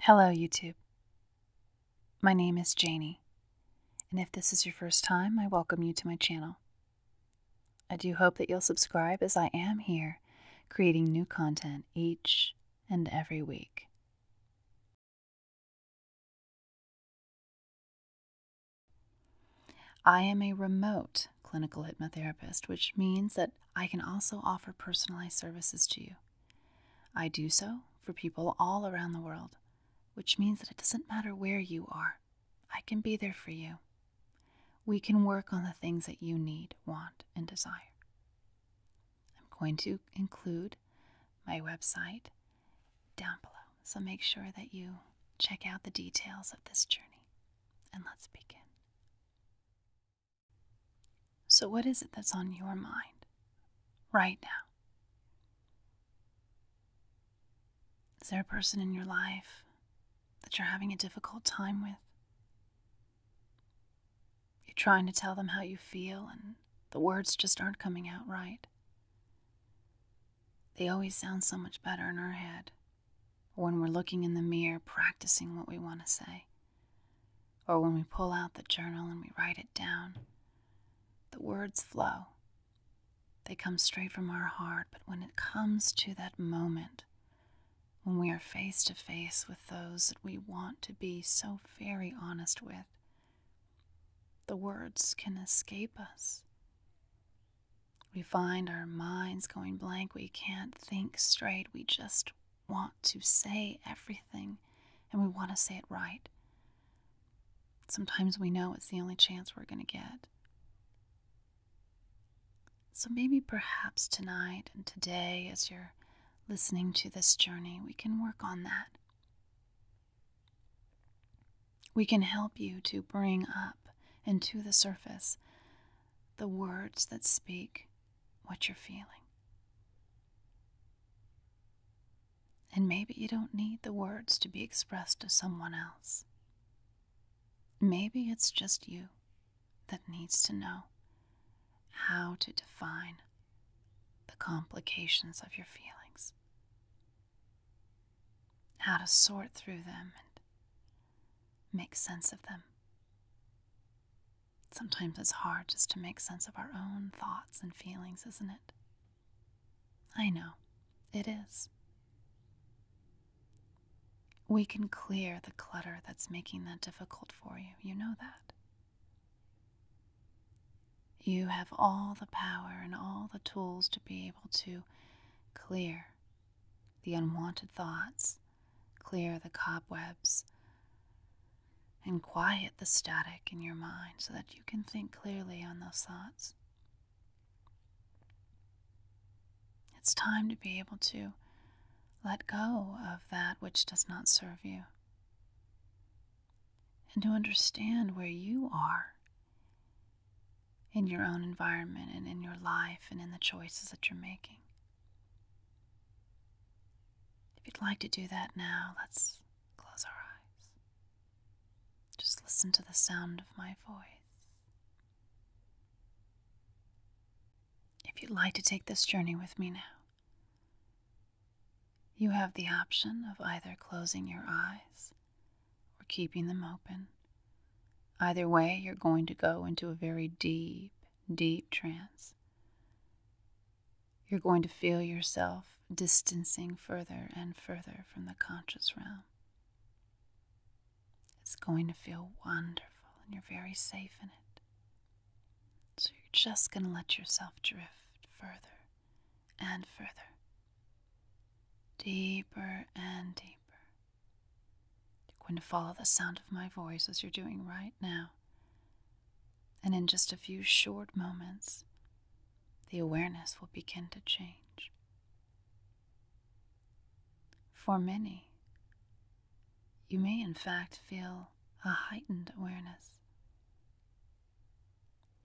Hello, YouTube. My name is Janie, and if this is your first time, I welcome you to my channel. I do hope that you'll subscribe as I am here, creating new content each and every week. I am a remote clinical hypnotherapist, which means that I can also offer personalized services to you. I do so for people all around the world, which means that it doesn't matter where you are, I can be there for you. We can work on the things that you need, want, and desire. I'm going to include my website down below so make sure that you check out the details of this journey. And let's begin. So, what is it that's on your mind right now? Is there a person in your life that you're having a difficult time with? You're trying to tell them how you feel, and the words just aren't coming out right. They always sound so much better in our head, when we're looking in the mirror practicing what we want to say, or when we pull out the journal and we write it down. The words flow. They come straight from our heart, but when it comes to that moment, when we are face to face with those that we want to be so very honest with, the words can escape us. We find our minds going blank. We can't think straight. We just want to say everything and we want to say it right. Sometimes we know it's the only chance we're going to get. So maybe perhaps tonight and today, as you're listening to this journey, we can work on that. We can help you to bring up and to the surface the words that speak what you're feeling. And maybe you don't need the words to be expressed to someone else. Maybe it's just you that needs to know how to define the complications of your feelings how to sort through them and make sense of them. Sometimes it's hard just to make sense of our own thoughts and feelings, isn't it? I know, it is. We can clear the clutter that's making that difficult for you. You know that. You have all the power and all the tools to be able to clear the unwanted thoughts, clear the cobwebs, and quiet the static in your mind so that you can think clearly on those thoughts. It's time to be able to let go of that which does not serve you and to understand where you are in your own environment and in your life and in the choices that you're making. If you'd like to do that now, let's close our eyes. Just listen to the sound of my voice. If you'd like to take this journey with me now, you have the option of either closing your eyes or keeping them open. Either way, you're going to go into a very deep, deep trance. You're going to feel yourself distancing further and further from the conscious realm. It's going to feel wonderful, and you're very safe in it. So you're just going to let yourself drift further and further, deeper and deeper. You're going to follow the sound of my voice as you're doing right now. And in just a few short moments, the awareness will begin to change. For many, you may in fact feel a heightened awareness.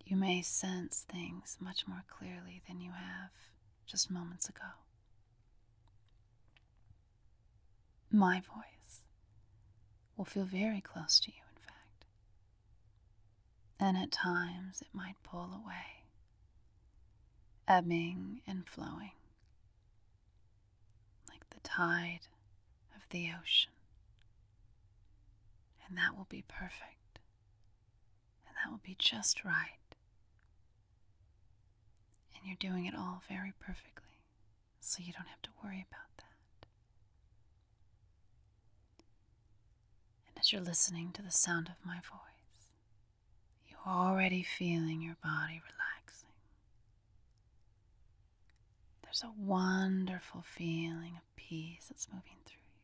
You may sense things much more clearly than you have just moments ago. My voice will feel very close to you, in fact. And at times it might pull away, ebbing and flowing, like the tide of the ocean. And that will be perfect, and that will be just right and you're doing it all very perfectly, so you don't have to worry about that. And as you're listening to the sound of my voice, you're already feeling your body relaxing. There's a wonderful feeling of peace that's moving through you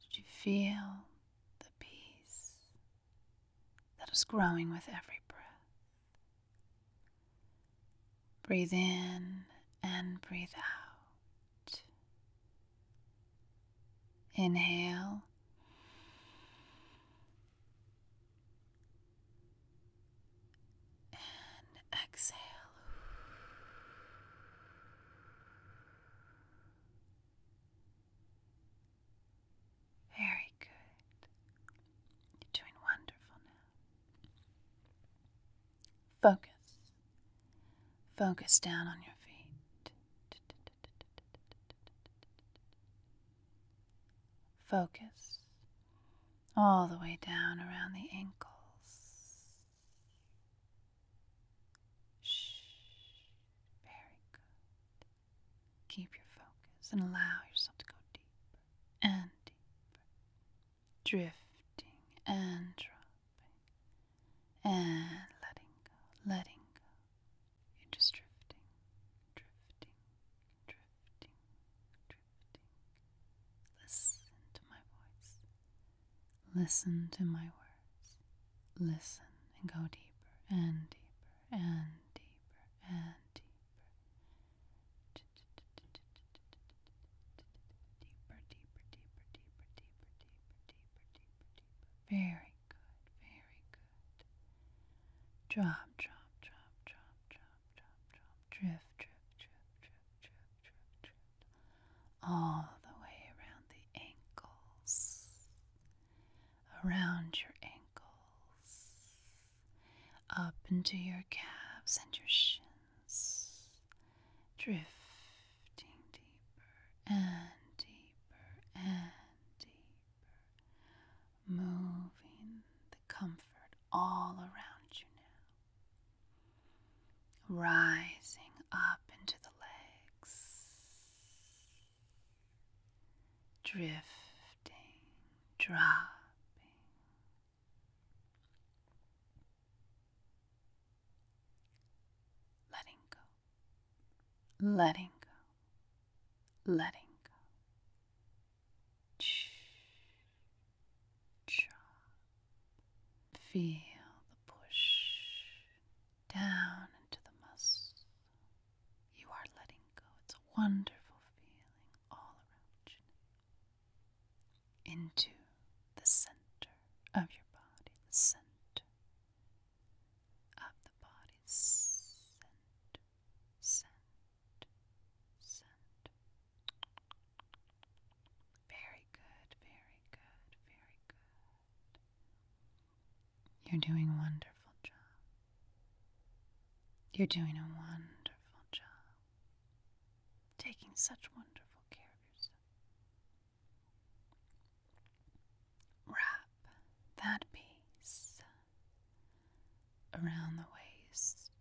Did you feel the peace that is growing with every breath? Breathe in and breathe out. Inhale. and Exhale. Very good. You're doing wonderful now. Focus. Focus down on your feet. Focus all the way down around the ankles. Shh. Very good. Keep your focus and allow yourself to go deeper and deeper. Drifting and dropping and letting go, letting go. You're just drifting, drifting, drifting, drifting. Listen to my voice. Listen to my words. Listen and go deeper and deeper and deeper and deeper. Deeper, deeper, deeper, deeper, deeper, deeper, deeper, deeper, deeper. Very good, very good. Drop, drop, drop, drop, drop, drop, drop. Drift, drift, drift, drift, drift, drift, drift all the way around the ankles, around your ankles, up into your calves and your shins, drifting deeper and deeper and deeper, moving the comfort all around you now, rising up into the legs. Drifting, dropping. Letting go. Letting go. Letting go. Ch drop. Feel the push down into the muscles. You are letting go. It's a wonderful feeling all around Into the center of your body, the center of the body, center, center, center. Very good, very good, very good. You're doing a wonderful job. You're doing a wonderful job. Taking such wonderful care of yourself. Wrap that piece around the waist,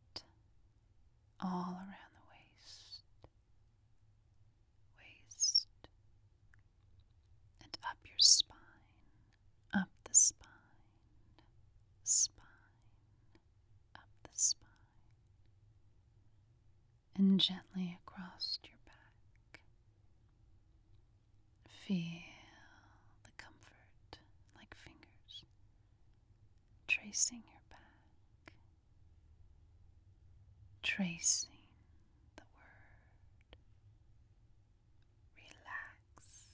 all around the waist, waist, and up your spine, up the spine, spine, up the spine, and gently across your back. Feel the comfort like fingers tracing your back, tracing the word relax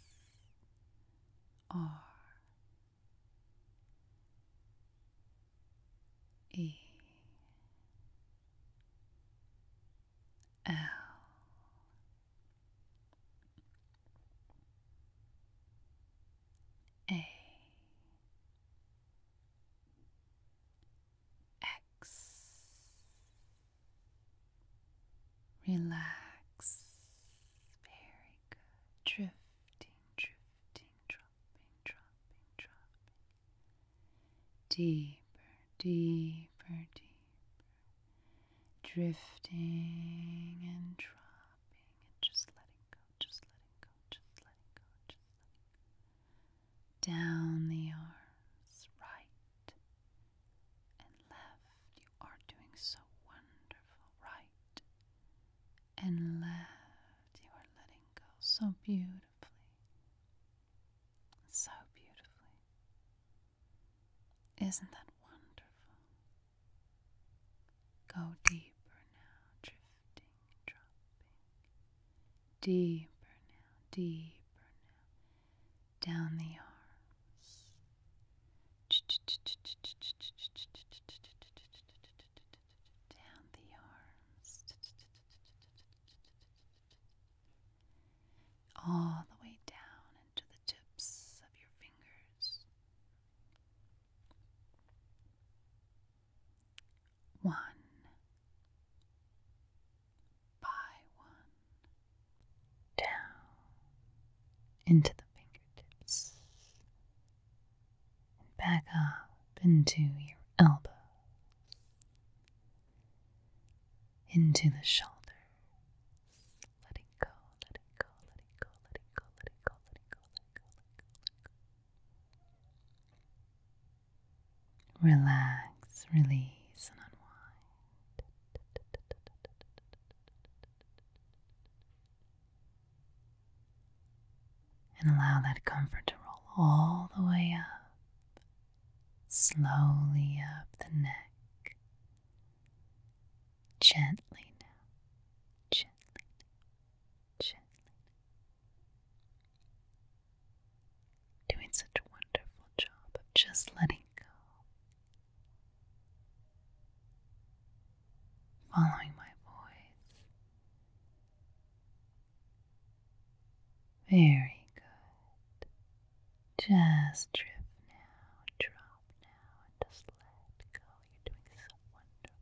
R E L A X. Relax. Very good. Drifting, drifting, dropping, dropping, dropping. Deeper, deeper, deeper. Drifting and dropping and just letting go, just letting go, just letting go, just letting go down the arms, right and left. You are doing so wonderful. Right and left. You are letting go so beautifully. So beautifully. Isn't that wonderful? Go deeper now, drifting dropping deeper now, deeper now, down the arms. Down the arms, all the way down into the tips of your fingers one by one down into the fingertips back up into your elbow, into the shoulder. let it go, let it go, let it go, let it go, let it go, let it go, let it go, let it go. Relax, release, and unwind. And allow that comfort to roll all the way up, slowly up the neck. Gently now, gently gently doing such a wonderful job just letting go. Following my voice. Very good. Just drift now, drop now, just let go. You're doing so wonderful.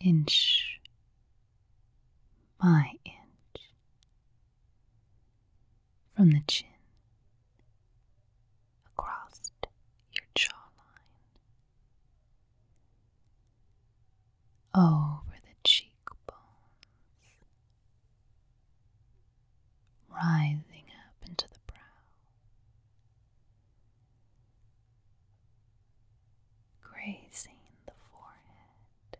inch by inch from the chin across your jawline over the cheekbones rising up into the brow grazing the forehead.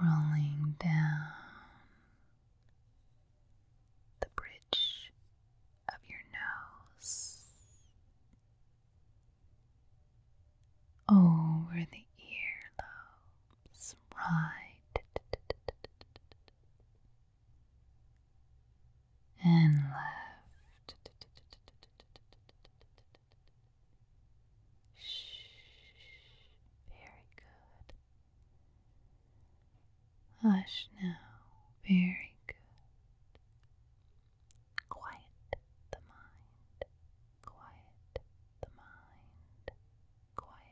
Rolling down the bridge of your nose over the earlobes, right and left. Shh. Very good. Hush now. Very good. Quiet the mind. Quiet the mind. Quiet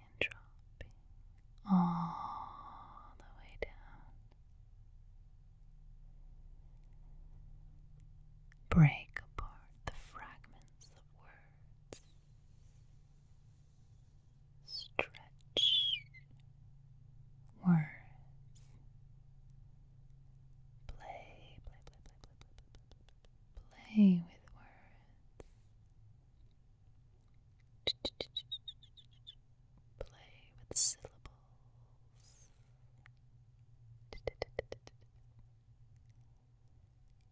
and dropping all the way down. Break apart the fragments of words. Stretch words. play, play, play, play, play, play, play with words. Play with syllables.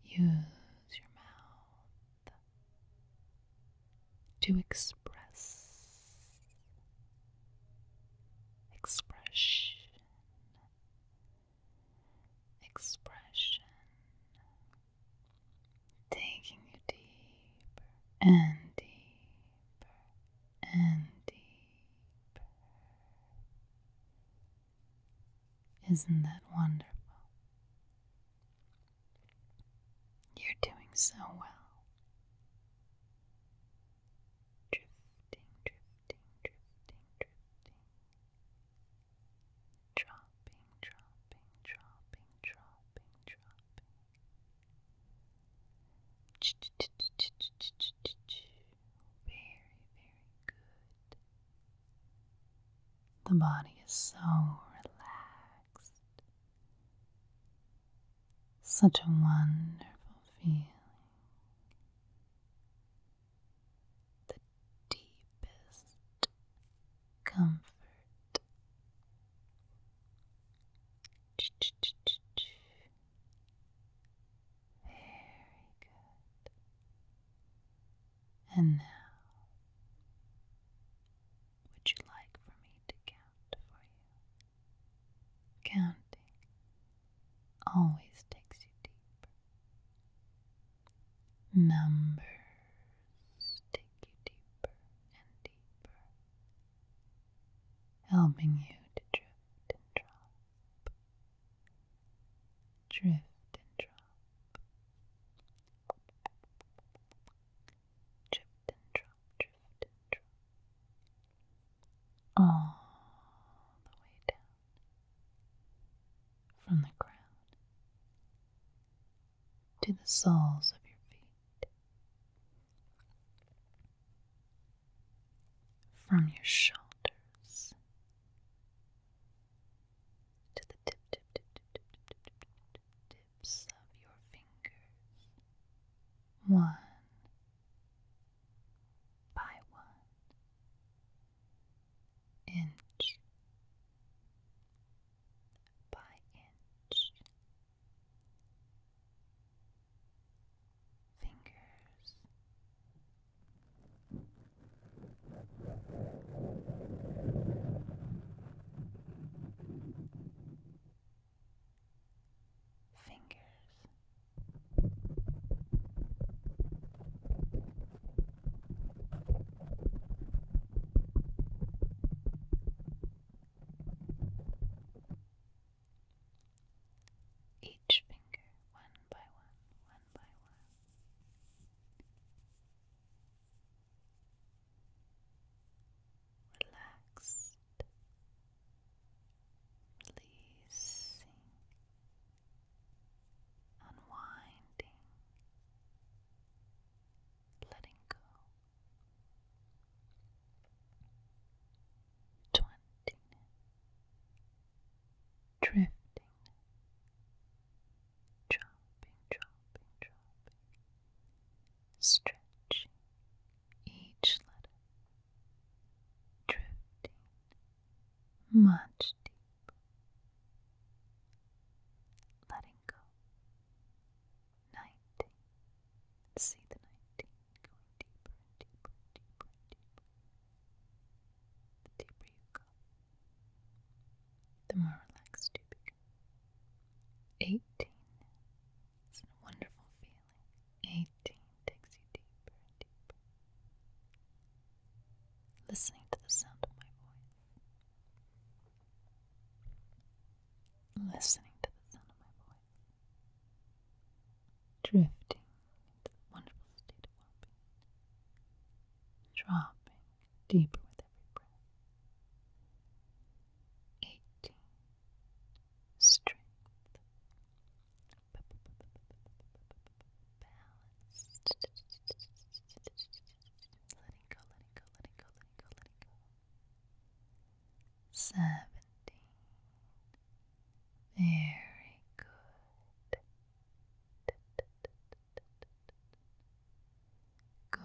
Use your mouth to express expression expression taking you deeper and deeper and deeper. Isn't that wonderful? You're doing so well. Dropping, dropping, dropping, dropping, dropping. Very, very good. The body is so relaxed. Such a wonderful feeling. The deepest comfort. Very good. And now, would you like for me to count for you? Counting always takes you deeper. Numbers take you deeper and helping you to drift and drop, drift and drop, drift and drop, drift and drop, all the way down from the ground to the soles of your feet. From your shoulders to the tips of your fingers, one by one, inch by inch. Fingers. Fingers. Each finger, one by one, one by one. Relaxed, unwinding, letting go. Twenty drifting, dropping, stretching each letter, drifting much deeper, letting go, 19. See the 19 going deeper and deeper deeper and deeper. The deeper you go, the more relaxed you become. 18 is a wonderful feeling. 18 takes you deeper and deeper. Listening to the sound of my voice listening to the sound of my voice, drifting into the wonderful state of well being, dropping deeper with every breath. Eighteen strength, balance, letting go, letting go, letting go, letting go, letting go seventeen. Very good. Good.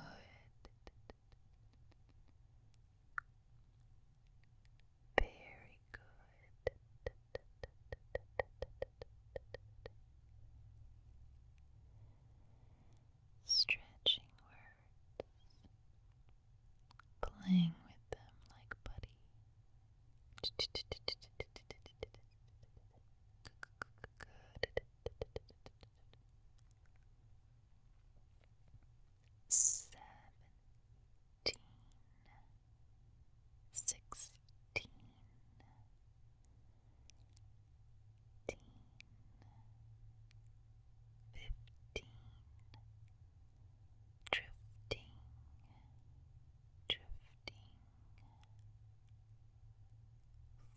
Very good. Stretching wherever playing with them like Buddy. Seventeen, sixteen, fifteen, drifting, drifting,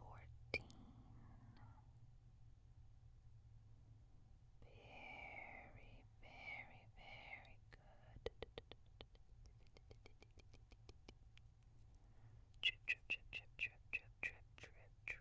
fourteen, very, very, very good. Drip, drip, drip, drip, drip, drip, drip, drip,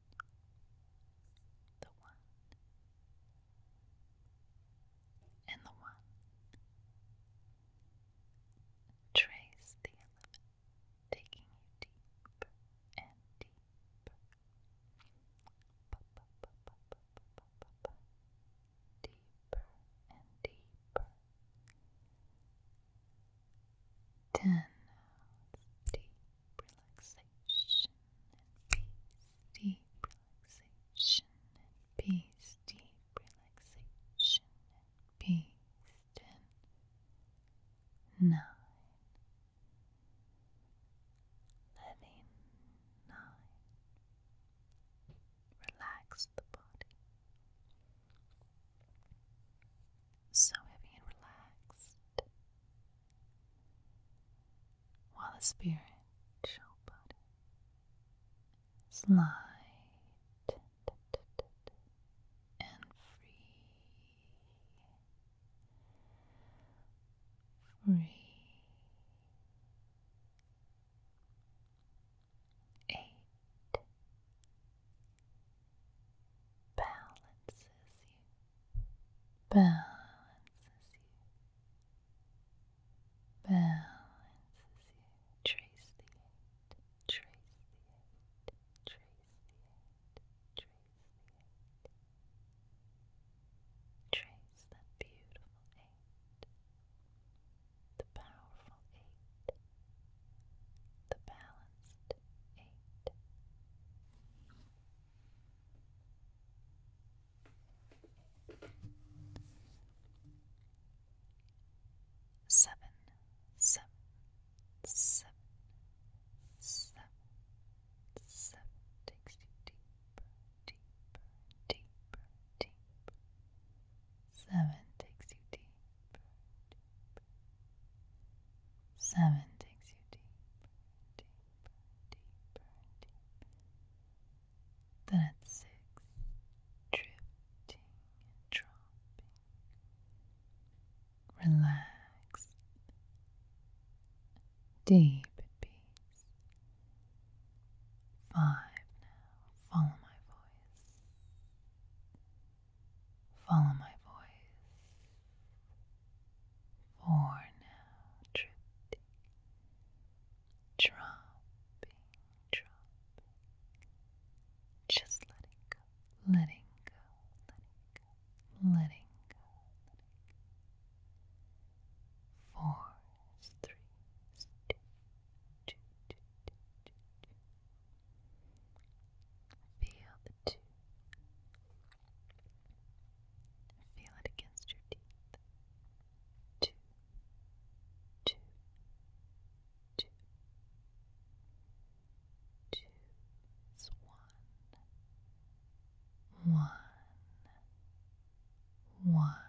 the one, and the one. Trace the element, taking you deeper and deeper. Deeper and deeper. Ten deep relaxation and peace, deep relaxation and peace, deep relaxation and peace. Ten, nine, eleven, nine. Relax the body so heavy and relaxed, while the spirit shall body slide and free, free. Eight balances you, balances you, balances you. Trace the eight, trace the eight, trace the eight, trace the beautiful eight, the powerful eight, the balanced eight. Seven, seven, takes you deeper, deeper, deeper, deeper. Seven takes you deeper, deeper. Seven takes you deeper, deeper, deeper, deeper. Then at six, drifting and dropping. Relax. Deep in peace. Five now. Follow my voice. Follow my voice. For now, drifting, dropping, dropping. Just letting go, letting go, letting go, letting go. Four, three, two, two, two, two, two. Feel two. Feel it against your teeth. Two, two, two, two is one, one, one.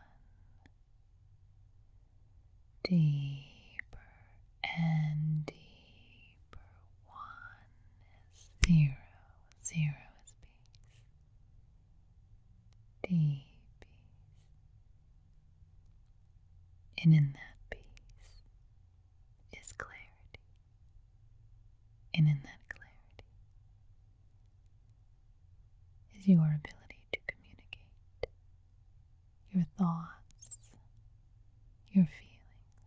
Deeper and deeper. One is Zero is peace. Deep And in that peace is clarity. And in that clarity is your ability to communicate your thoughts, your feelings,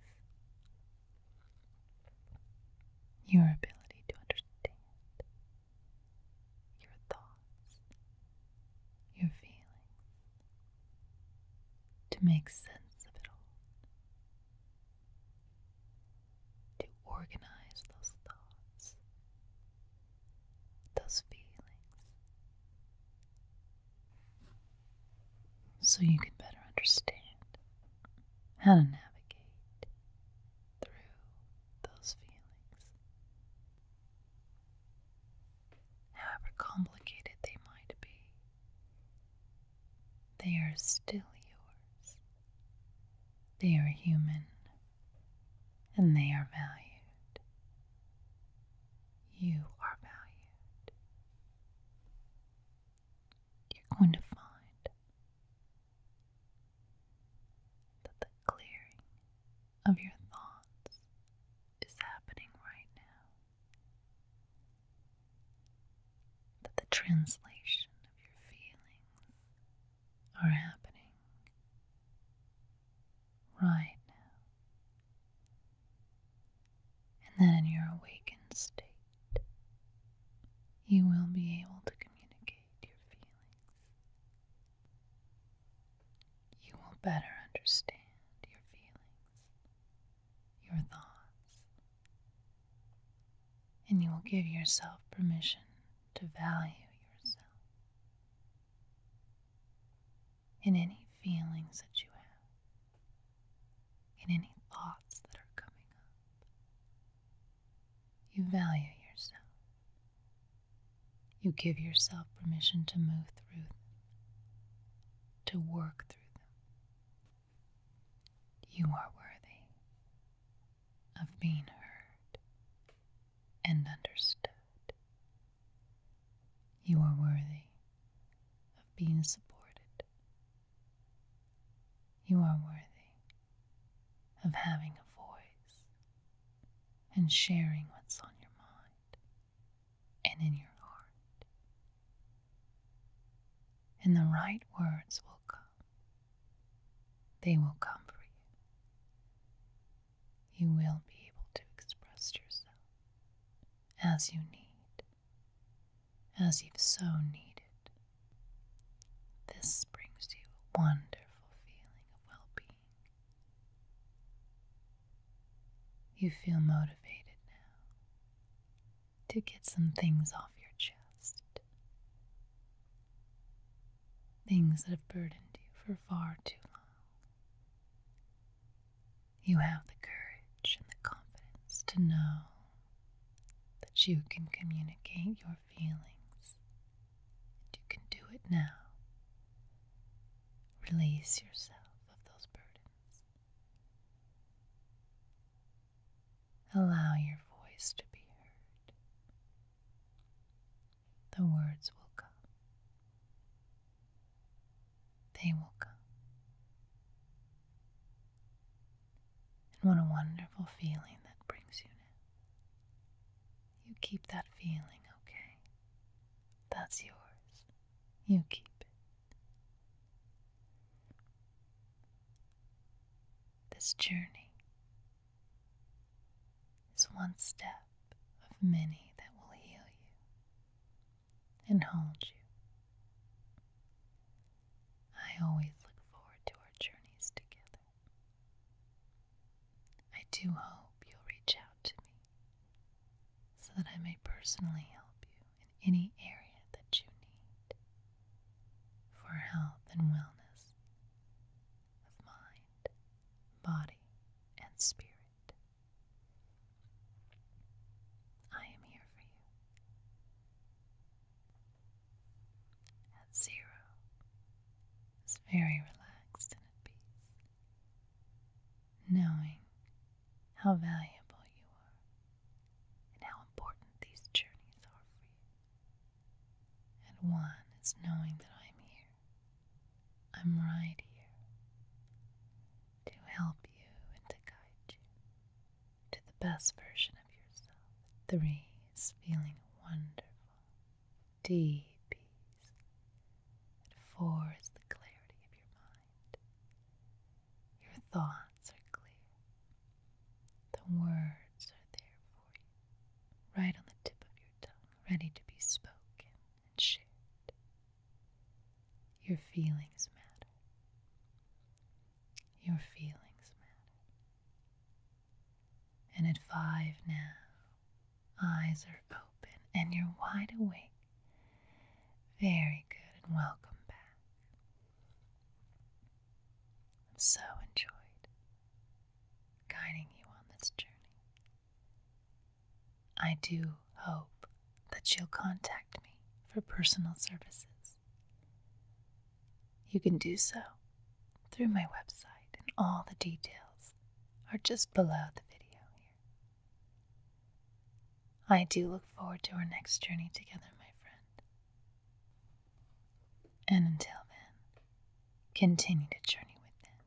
your ability to understand your thoughts, your feelings, to make sense of it all, to organize those thoughts, those feelings, so you can better understand how to navigate through those feelings. However complicated they might be, they are still yours. They are human and they are valued. You are valued you're going to find that the clearing of your thoughts is happening right now. That the translation of your feelings are happening right now. And then in your awakened state, you will be able to communicate your feelings. You will better understand your feelings, your thoughts, and you will give yourself permission to value yourself in any feelings that you have in any thoughts that are coming up. You value yourself. You give yourself permission to move through them, to work through them. You are worthy of being heard and understood. You are worthy of being supported. You are worthy of having a voice and sharing what's on your mind and in your heart. And the right words will come, they will come for you. You will be able to express yourself as you need, as you've so needed. This brings you a wonderful feeling of well being. You feel motivated now to get some things off your chest, things that have burdened you for far too long you have the courage and the confidence to know that you can communicate your feelings. And you can do it now. Release yourself of those burdens. Allow your voice to be heard. The words will come they will come. And what a wonderful feeling that brings you now. You keep that feeling, okay? That's yours. You keep it. This journey is one step of many that will heal you and hold you. I always look forward to our journeys together. I do hope you'll reach out to me so that I may personally help you in any area that you need for health and wellness of mind, body, and spirit. I am here for you. At zero is very relaxed and at peace, knowing how valuable you are and how important these journeys are for you. And one is knowing that I'm here. I'm right here to help you and to guide you to the best version of yourself. Three is feeling wonderful, deep peace. And four is the clarity of your mind. Your thoughts are clear. The words are there for you, right on the tip of your tongue, ready to be spoken and shared. Your feelings matter. Your feelings matter. And at five now, eyes are open and you're wide awake. Very good and welcome back. i so enjoyed guiding you on this journey. I do hope that she'll contact me for personal services. You can do so through my website, and all the details are just below the video here. I do look forward to our next journey together, my friend. And until then, continue to journey. with